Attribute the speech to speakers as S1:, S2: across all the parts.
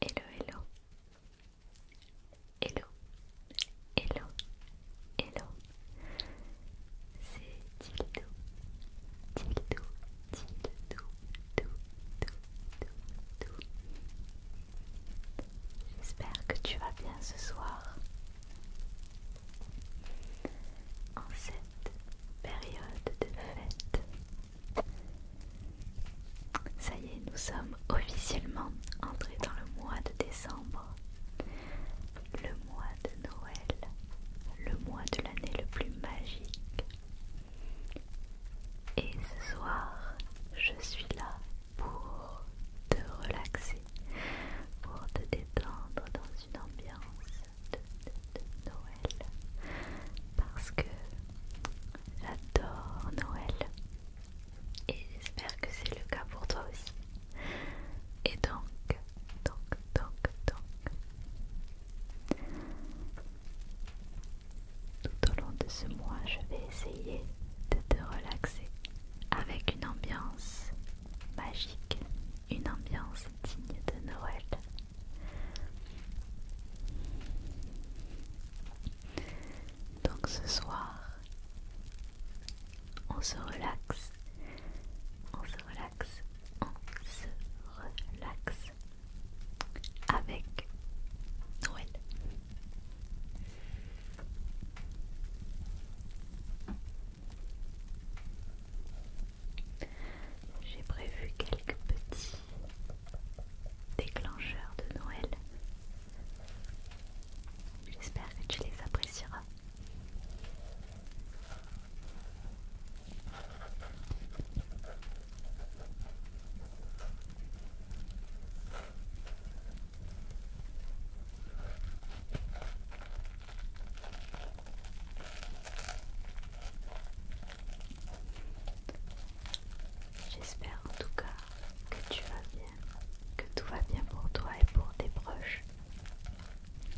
S1: Hello, hello. Hello. Hello. Hello. C'est Tildou Tildou Tildou Tout, J'espère que tu vas bien ce soir. En cette période de fête, ça y est, nous sommes officiellement entrés dans le mois de décembre, le mois de Noël, le mois de l'année le plus magique. Et ce soir, je suis là pour te relaxer, pour te détendre dans une ambiance de Noël parce que j'adore Noël et j'espère que c'est le cas pour toi aussi. Et donc, donc, donc, donc, tout au long de ce mois, je vais essayer de te relaxer avec une ambiance magique, une ambiance digne de Noël. Donc ce soir, on se relaxe, on se relaxe, on se relaxe avec Noël. J'ai prévu quelques petits déclencheurs de Noël. J'espère que tu les apprécieras. J'espère en tout cas que tu vas bien, que tout va bien pour toi et pour tes proches.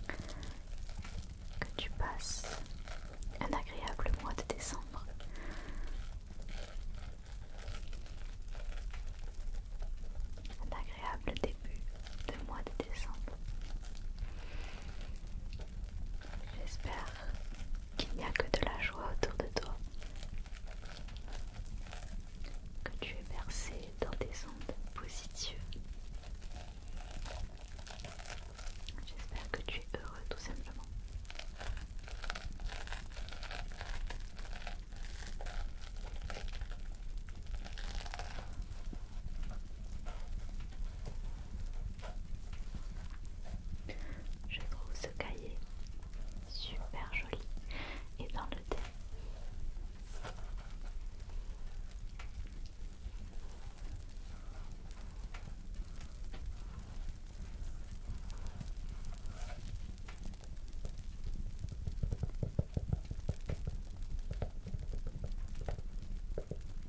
S1: Que tu passes un agréable mois de décembre. Un agréable début de mois de décembre. J'espère qu'il n'y a que de la joie autour de toi. Que tu es bercé dans des ondes positives. J'espère que tu es heureux tout simplement. Je trouve ce cahier super joli et dans le thé.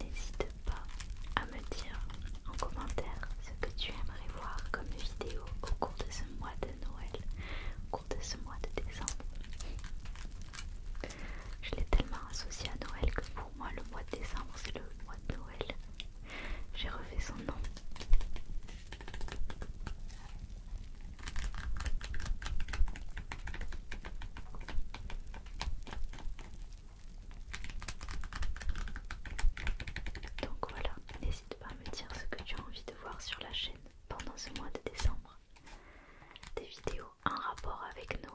S1: N'hésite pas à me dire en commentaire ce que tu aimerais voir comme vidéo au cours de ce mois de Noël, au cours de ce mois de décembre. Je l'ai tellement associé à Noël que pour moi le mois de décembre c'est le mois de Noël. J'ai refait son nom. Donc voilà, n'hésite pas à me dire ce que tu as envie de voir sur la chaîne pendant ce mois de décembre. Des vidéos en rapport avec Noël.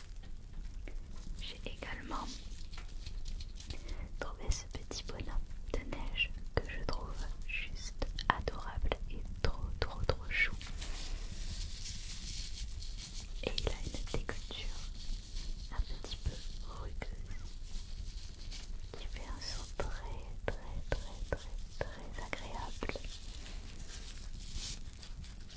S1: J'ai également trouvé ce petit bonhomme de neige que je trouve juste adorable et trop trop trop chou. Et il a une un petit peu rugueuse qui fait un son très très très très très agréable.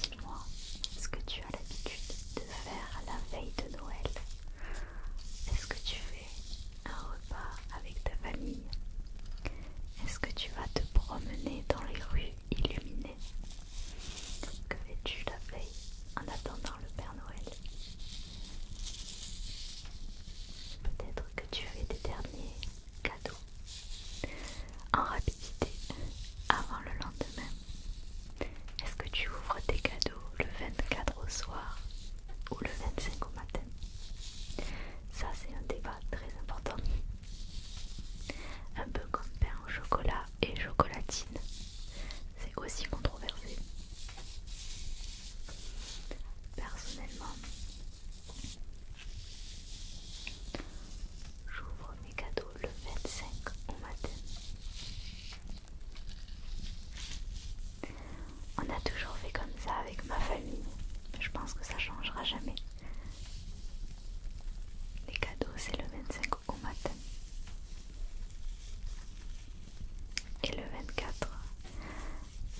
S1: Dis-moi est ce que tu as l'habitude de faire la veille de Noël. Est-ce que tu fais un repas avec ta famille Est-ce que tu vas te promener dans les rues illuminées Que fais-tu la veille en attendant le Père Noël Peut-être que tu fais des derniers cadeau en rapidité avant le lendemain. Est-ce que tu ouvres tes cadeaux le 24 au soir ou le 25 au matin Ça c'est un débat très important. Un peu comme pain au chocolat et chocolatine. C'est aussi controversé. Personnellement, J'ouvre mes cadeaux le 25 au matin. On a toujours fait comme ça avec ma famille. Je pense que ça changera jamais. Les cadeaux, c'est le 25 au matin. Et le 24,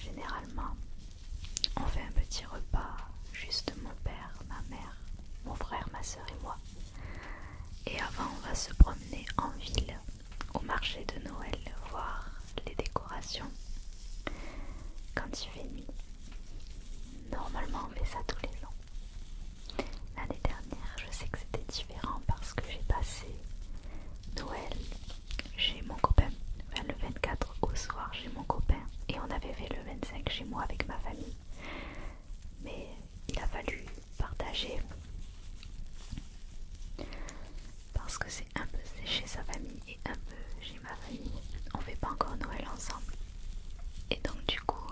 S1: Généralement, on fait un petit repas, juste mon père, ma mère, mon frère, ma soeur et moi. Et avant, on va se promener en ville, au marché de Noël, voir les décorations. Quand il fait nuit, normalement on fait ça tous les ans. L'année dernière, je sais que c'était différent parce que j'ai passé Noël chez mon copain, le 24 au soir j'ai mon copain, et on avait fait le 25 chez moi avec ma famille. Mais il a fallu partager parce que c'est un peu chez sa famille et un peu chez ma famille. On fait pas encore Noël ensemble. Et donc du coup,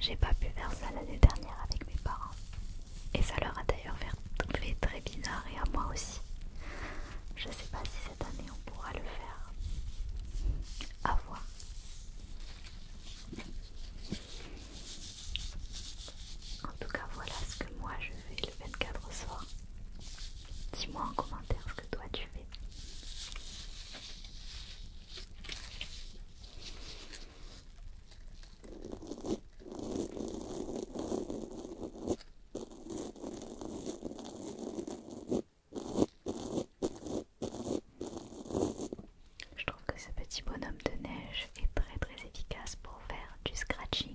S1: j'ai pas pu faire ça l'année dernière avec mes parents. Et ça leur a d'ailleurs est très bizarre et à moi aussi. Je sais pas si cette année on pourra le faire. À voir. En tout cas, voilà ce que moi je fais le 24 soir. Dis-moi en commentaire ce que toi tu fais. Je trouve que ce petit bonhomme de neige est très très efficace pour faire du scratching.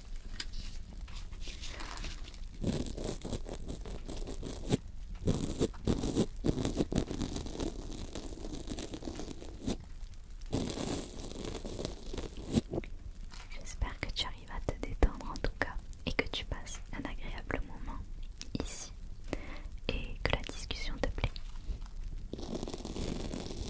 S1: J'espère que tu arrives à te détendre en tout cas et que tu passes un agréable moment ici et que la discussion te plaît.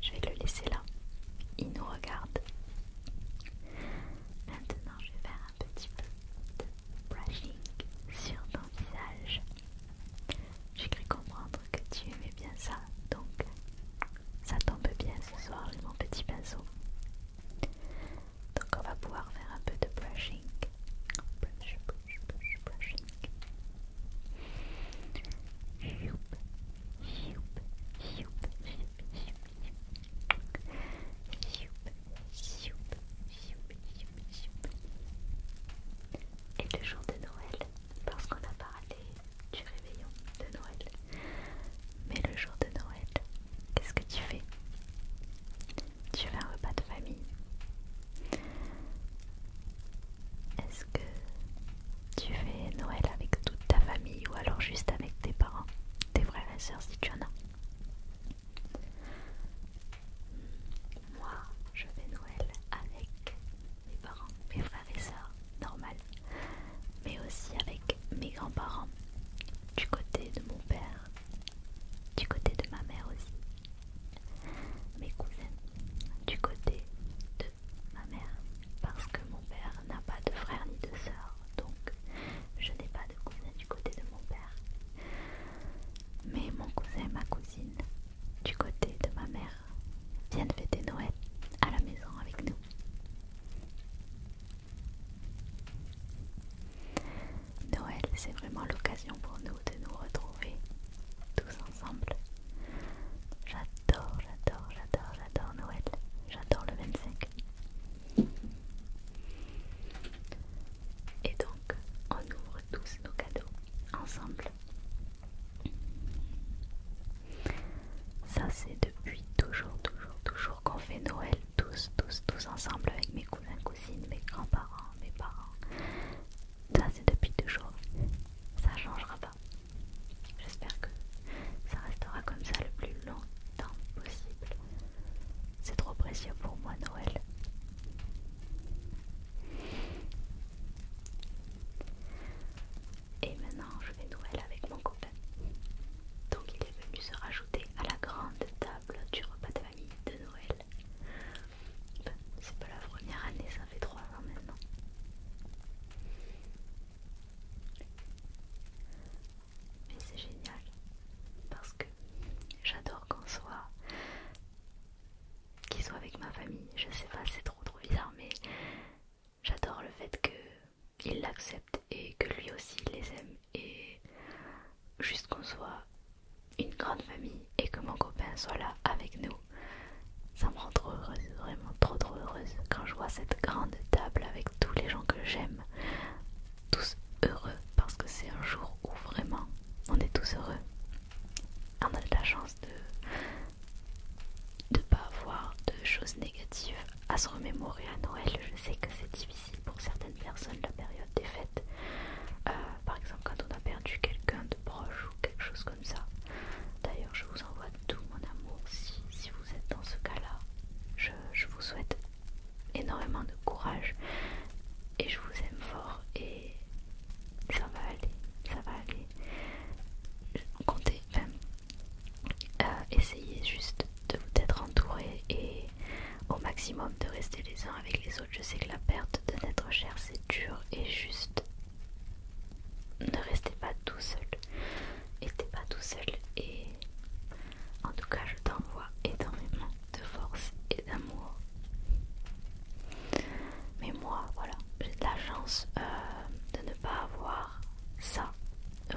S1: Je vais le laisser là. Il nous regarde. Maintenant, je vais faire un petit peu de brushing sur ton visage. J'ai cru comprendre que tu aimais bien ça, donc ça tombe bien ce soir, mon petit pinceau. Donc on va pouvoir faire un peu de brushing. Et le jour de Noël, parce qu'on a parlé du réveillon de Noël. Mais le jour de Noël, qu'est-ce que tu fais tu fais un repas de famille. Est-ce que tu fais Noël avec toute ta famille ou alors juste avec tes parents, tes frères et sœurs si tu en as Moi, je fais Noël avec mes parents, mes frères et sœurs, normal, mais aussi avec mes grands-parents, du côté de mon père, du côté de ma mère aussi mes cousins du côté de ma mère parce que mon père n'a pas de frère ni de sœur donc je n'ai pas de cousin du côté de mon père mais mon cousin et ma cousine du côté de ma mère viennent fêter Noël à la maison avec nous Noël, c'est vraiment l'occasion pour nous de nous retrouver tous ensemble. J'adore, j'adore, j'adore, j'adore Noël. J'adore le 25. Et donc, on ouvre tous nos cadeaux ensemble. Ça, c'est depuis toujours, toujours, toujours qu'on fait Noël tous, tous, tous ensemble avec mes cousins ma cousines, mes grands-parents, mes parents. Ça c'est depuis toujours. Ça changera pas. J'espère que ça restera comme ça le plus longtemps possible. C'est trop précieux pour moi Noël. Et maintenant je vais Noël avec mon copain. Donc il est venu se rajouter à la grande table du repas de famille de Noël bah, c'est pas la première année, ça fait trois ans maintenant. Mais c'est génial parce que j'adore qu'on soit qu'ils soit avec ma famille. Je sais pas, c'est trop trop bizarre, mais j'adore le fait que il l'accepte et que lui aussi les aime et juste qu'on soit une grande famille et que mon copain soit là avec nous. Ça me rend trop heureuse, vraiment trop trop heureuse quand je vois cette grande table avec tous les gens que j'aime, tous heureux parce que c'est un jour où vraiment on est tous heureux. On a de la chance de ne pas avoir de choses négatives à se remémorer à Noël. Je sais que c'est difficile pour certaines personnes la période des fêtes. Euh, par exemple, quand on a perdu quelqu'un de proche ou quelque chose comme ça. D'ailleurs, je vous envoie tout mon amour si, vous êtes dans ce cas-là. Je, vous souhaite énormément de courage et je vous aime fort et ça va aller, ça va aller. Comptez, même euh, essayez juste De vous être entouré et au maximum de rester les uns avec les autres. Je sais que la perte de n'être cher c'est dur et juste. Ne restez pas tout seul. N'étais pas tout seul et en tout cas je t'envoie énormément de force et d'amour. Mais moi voilà, j'ai de la chance euh, de ne pas avoir ça, euh,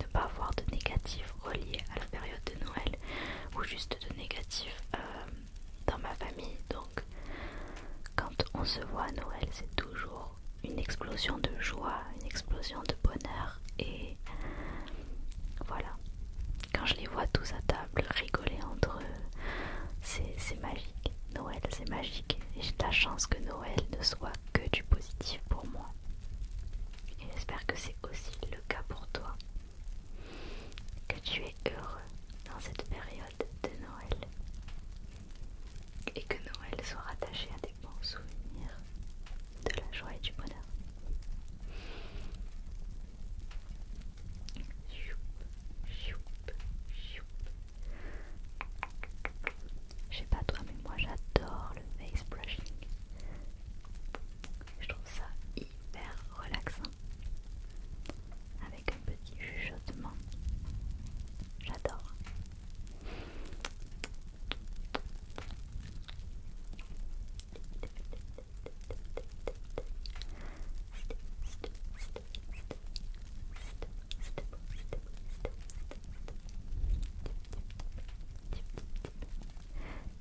S1: de ne pas avoir de négatif relié à la période de Noël ou juste de négatif euh, dans ma famille. Donc, quand on se voit à Noël, c'est toujours une explosion de joie, une explosion de bonheur. Et voilà, quand je les vois tous à table rigoler entre eux, c'est magique. Noël, c'est magique. Et j'ai la chance que Noël ne soit que du positif pour moi. Et j'espère que c'est aussi le cas pour toi. Que tu es heureux dans cette période de Noël et que Noël soit rattaché à des bons souvenirs de la joie et du bonheur. Je sais pas toi, mais moi j'adore le face brushing. Je trouve ça hyper relaxant. Avec un petit chuchotement. J'adore.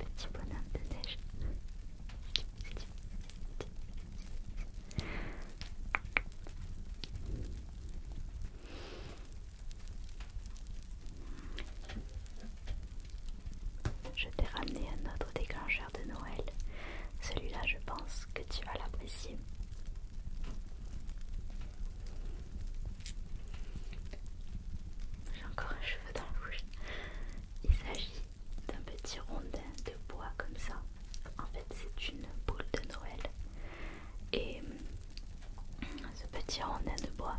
S1: Petit bonhomme de neige. Je t'ai ramené un autre déclencheur de Noël. Celui-là, je pense que tu vas l'apprécier. J'ai encore un cheveu dans le rouge. Il s'agit d'un petit rondin de bois comme ça. En fait, c'est une boule de Noël. Et hum, ce petit rondin de bois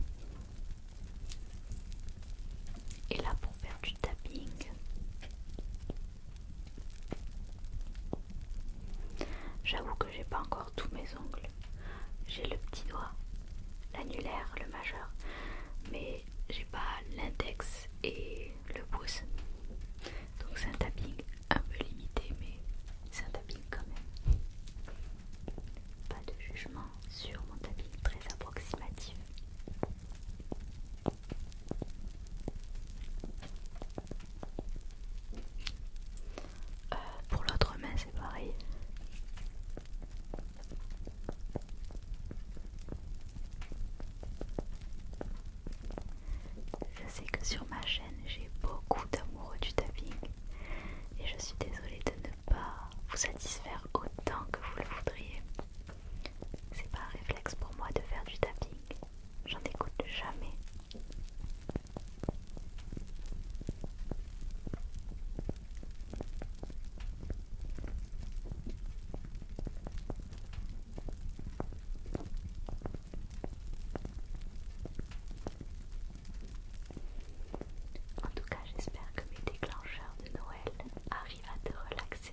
S1: est là pour faire du tapping. J'avoue que j'ai pas encore tous mes ongles. J'ai le petit doigt, l'annulaire, le majeur, mais j'ai pas l'index et le pouce. Donc c'est un tapping un peu limité, mais c'est un tapping quand même. Pas de jugement sur mon tapping très approximatif. Euh, pour l'autre main, pareil. Je sais que sur ma chaîne j'ai beaucoup d'amoureux du tapping et je suis désolée de ne pas vous satisfaire autant que vous le voudriez. C'est pas un réflexe pour moi de faire du tapping, j'en écoute jamais. En tout cas, j'espère que mes déclencheurs de Noël arrivent à te relaxer.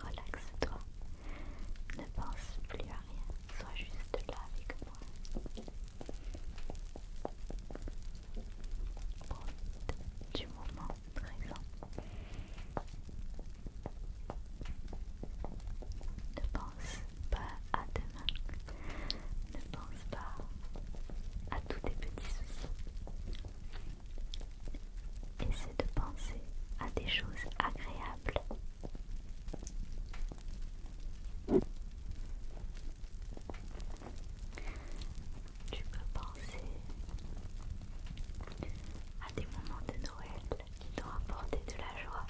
S1: Relaxe-toi. Ne pense plus à rien. Sois juste là avec moi. du moment présent. Ne pense pas à demain. Ne pense pas à tous tes petits soucis. Essaie de penser à des choses agréables. Tu peux penser à des moments de Noël qui t'ont apporté de la joie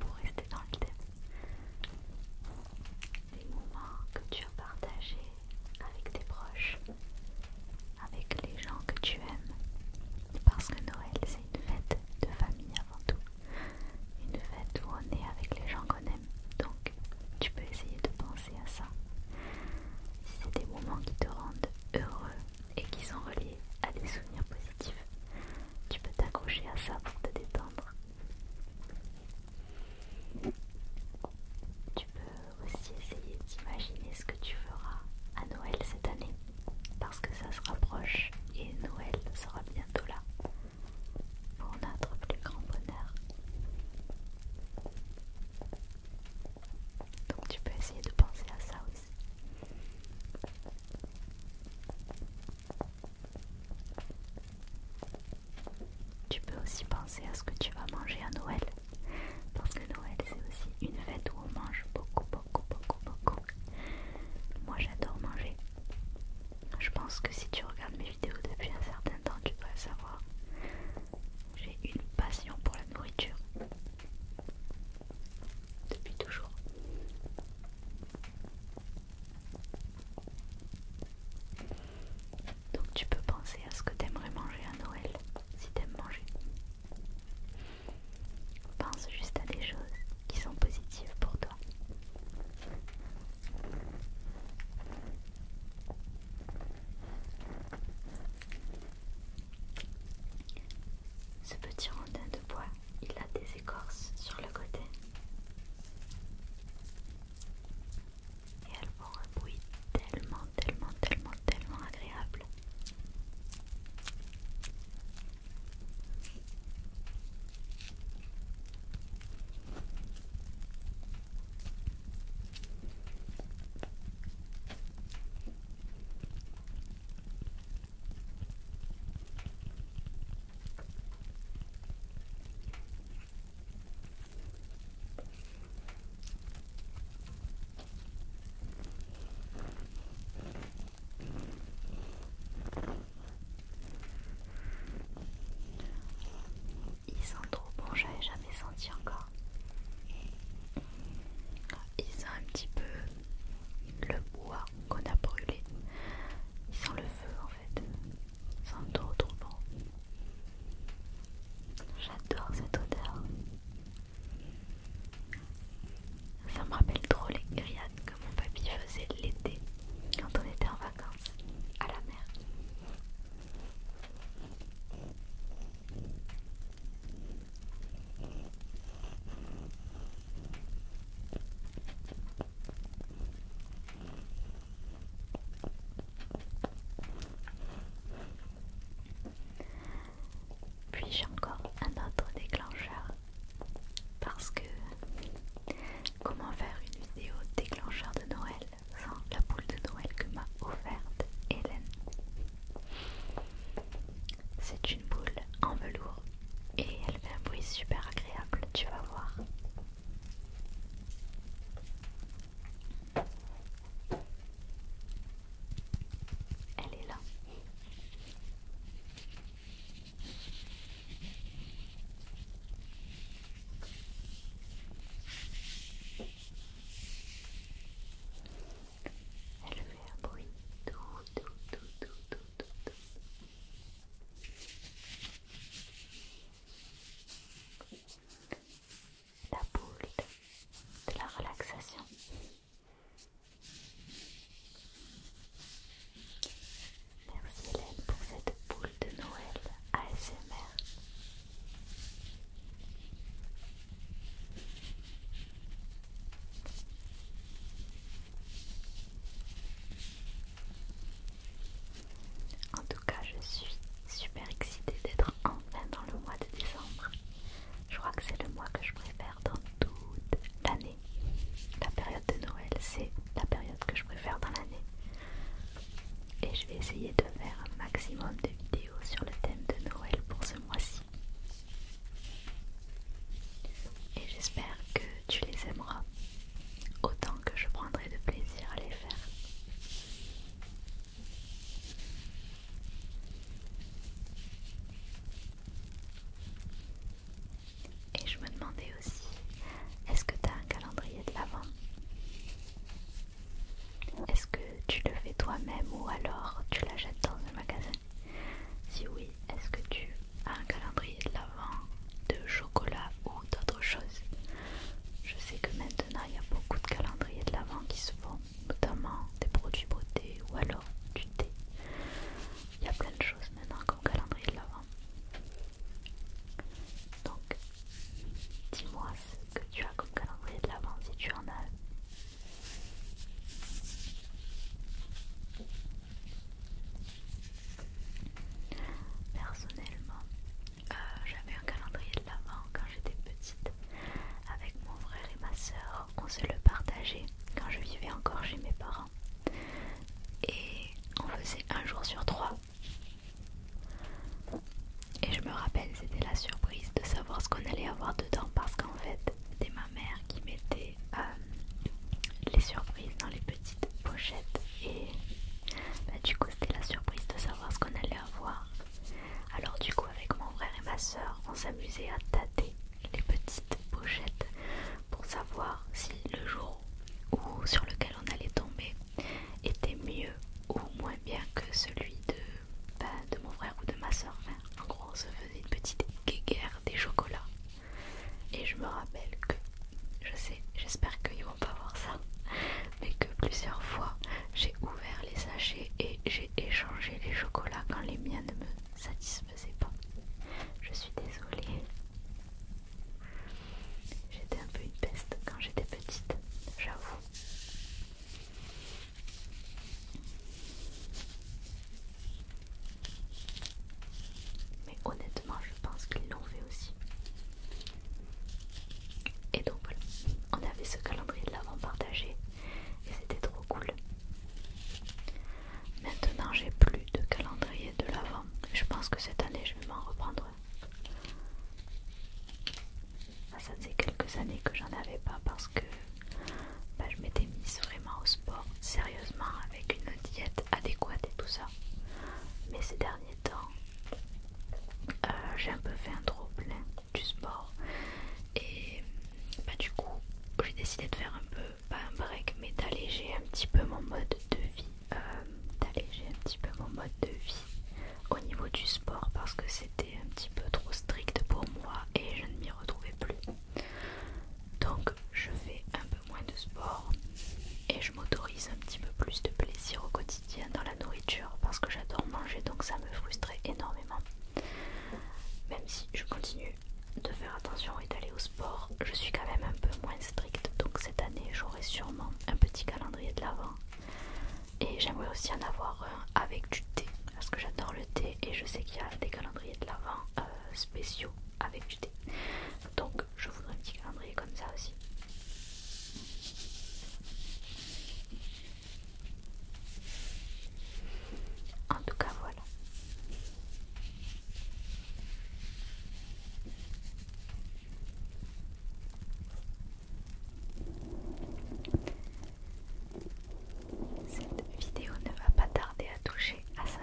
S1: pour rester dans le thème. Des moments que tu as partagés avec tes proches avec les gens que tu aimes. Parce que Noël, c'est une fête de famille avant tout. Une fête où on est avec les gens qu'on aime. Donc, tu peux essayer de penser à ça. Si c'est des moments qui te rendent heureux et qui sont reliés à des souvenirs positifs, tu peux t'accrocher à ça pour te détendre. Tu peux aussi essayer d'imaginer ce que tu feras à Noël cette année, parce que ça se rapproche et Noël sera bientôt là, pour notre plus grand bonheur. Donc tu peux essayer de penser à ça aussi. Tu peux aussi penser à ce que tu vas manger à Noël. Parce que Noël, c'est aussi une fête où on mange beaucoup, beaucoup, beaucoup, beaucoup. Moi, j'adore manger. Je pense que si tu regardes mes vidéos depuis un certain temps, tu peux savoir. J'ai une passion pour la nourriture. Depuis toujours. Donc tu peux penser à ce que t'aimerais manger à Noël si t'aimes manger. Pense juste à des choses qui sont positives pour toi. Ce petit rondin de bois, il a des écorces sur le côté et elles font un tellement, tellement, tellement, tellement agréable. Ils sont trop je j'avais jamais senti encore. Ils ont un petit peu le bois qu'on a brûlé. Ils sont le feu en fait. Ils sont trop trop bon J'adore cette odeur. Ça me rappelle trop les grillades que mon papy faisait l'été quand on était en vacances à la mer. Puis j'ai encore un autre déclencheur parce que comment faire une vidéo déclencheur de Noël sans la boule de Noël que m'a offerte Hélène C'est une boule en velours et elle fait un bruit super agréable, tu vas voir. Elle est là. Elle fait un bruit tout, tout, tout, tout, tout, tout, tout la boule de la relaxation. Merci pour cette boule de Noël ASMR. En tout cas, je suis super excitée d'être enfin dans le mois de décembre. Je crois que c'est le mois que je préfère dans toute l'année. La période de Noël, c'est la période que je préfère dans l'année. Et je vais essayer de faire un maximum de vidéos sur le thème de Noël pour ce mois-ci. Et j'espère que tu les aimeras autant que je prendrai de plaisir à les faire. Et je me demandais aussi, est-ce que tu as un calendrier de l'avent Est-ce que tu le fais toi-même ou alors tu l'achètes dans un magasin Si oui, est-ce que tu as un calendrier de l'avent de chocolat ou d'autres choses je sais que maintenant il y a beaucoup de calendriers de l'avant qui se font, notamment des produits beauté ou alors du thé. Il y a plein de choses maintenant comme calendrier de l'avant. Donc, dis-moi ce que tu as comme calendrier de l'avant si tu en as un. Personnellement, euh, j'avais un calendrier de l'avant quand j'étais petite. Avec mon frère et ma soeur, on se le partageait quand je vivais encore chez mes parents. Et on faisait un jour sur trois. Et je me rappelle, c'était la surprise de savoir ce qu'on allait avoir dedans parce qu'en fait, c'était ma mère qui mettait euh, les surprises dans les petites pochettes. Et bah, du coup, c'était la surprise de savoir ce qu'on allait avoir. Alors du coup avec mon frère et ma soeur on s'amusait à tâter les petites pochettes pour savoir si le jour Ou sur lequel on allait tomber était mieux ou moins bien que celui de, bah, de mon frère ou de ma soeur. en gros on se faisait une petite guéguerre des chocolats. Et je me rappelle que, je sais, j'espère que pas voir ça, mais que plusieurs fois j'ai ouvert les sachets et j'ai échangé les chocolats quand les miens ne me satisfaisaient pas. Je suis désolée. J'étais un peu une peste quand j'étais petite, j'avoue. Mais honnêtement, je pense qu'ils l'ont fait aussi. Et donc on avait ce calendrier de l'avant partagé et c'était trop cool. Maintenant j'ai plus de calendrier de l'avant. Je pense que cette année je vais m'en reprendre. Ah, ça faisait quelques années que j'en avais pas parce que bah, je m'étais mise vraiment au sport, sérieusement, avec une diète adéquate et tout ça. Mais ces derniers temps, euh, j'ai un peu fait un trop plein du sport et bah, du coup j'ai décidé de faire un peu, pas un break mais d'alléger un petit peu mon mode de vie euh, d'alléger un petit peu mon mode de vie au niveau du sport parce que c'était un petit peu trop strict pour moi et je ne m'y retrouvais plus donc je fais un peu moins de sport et je m'autorise un petit peu plus de plaisir au quotidien dans la nourriture parce que j'adore manger donc ça me frustrait énormément. Même si je continue de faire attention et d'aller au sport, je suis quand même un peu moins stricte donc cette année j'aurai sûrement un petit calendrier de l'avant et j'aimerais aussi en avoir un avec du thé parce que j'adore le thé et je sais qu'il y a des calendriers de l'avant euh, spéciaux avec du thé donc je voudrais un petit calendrier comme ça aussi en tout cas, voilà. Cette vidéo ne va pas tarder à toucher à sa fin.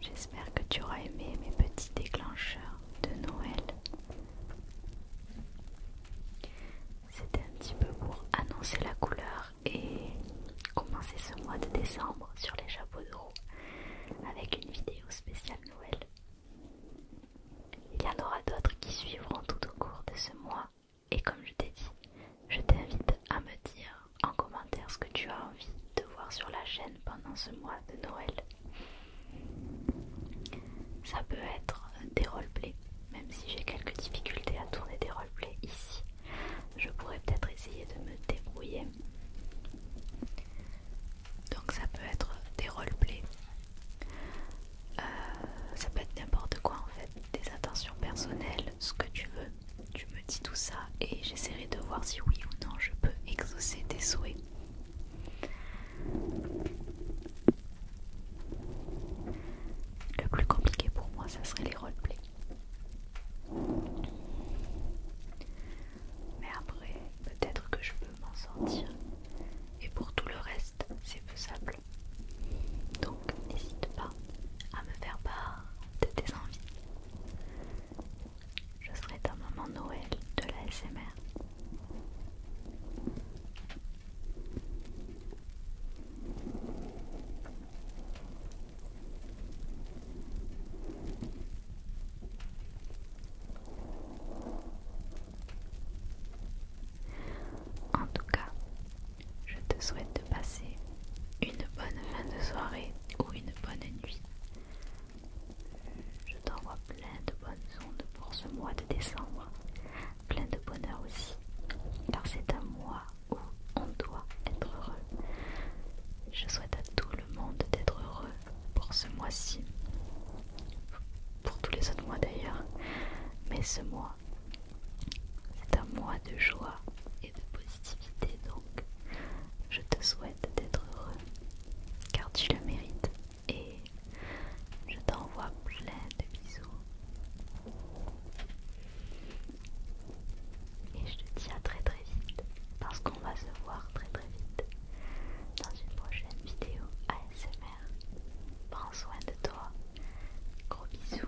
S1: J'espère que tu auras aimé mes petits déclencheurs de Noël. C'était un petit peu pour annoncer la couleur et commencer ce mois de décembre sur les chapeaux de roue avec une vidéo spéciale Noël. Il y en aura d'autres qui suivront tout au cours de ce mois et comme je t'ai dit, je t'invite à me dire en commentaire ce que tu as envie de voir sur la chaîne pendant ce mois de Noël. Ça peut être des roleplays, même si j'ai quelques difficultés à tourner des roleplays ici. Je pourrais peut-être essayer de me débrouiller. Donc ça peut être des roleplays. Euh, ça peut être n'importe quoi en fait, des intentions personnelles, ce que tu veux. Tu me dis tout ça et j'essaierai de voir si oui ou non je peux exaucer tes souhaits. Le plus compliqué pour moi, ça serait les roleplays. Mais après, peut-être que je peux m'en sortir. Et pour tout le reste, c'est faisable. Donc n'hésite pas à me faire part de tes envies. Je serai un moment Noël de la SMR. En tout cas, je te souhaite de passer une bonne fin de soirée ou une bonne nuit je t'envoie plein de bonnes ondes pour ce mois de décembre, plein de bonheur aussi, car c'est un mois où on doit être heureux. Je souhaite à tout le monde d'être heureux pour ce mois-ci, pour tous les autres mois d'ailleurs, mais ce mois, c'est un mois de joie et de positivité donc je te souhaite d'être heureux, car tu le mérites, et je t'envoie plein de bisous. Et je te dis à très très vite, parce qu'on va se voir très très vite dans une prochaine vidéo ASMR. Prends soin de toi, gros bisous,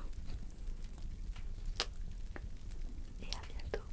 S1: et à bientôt.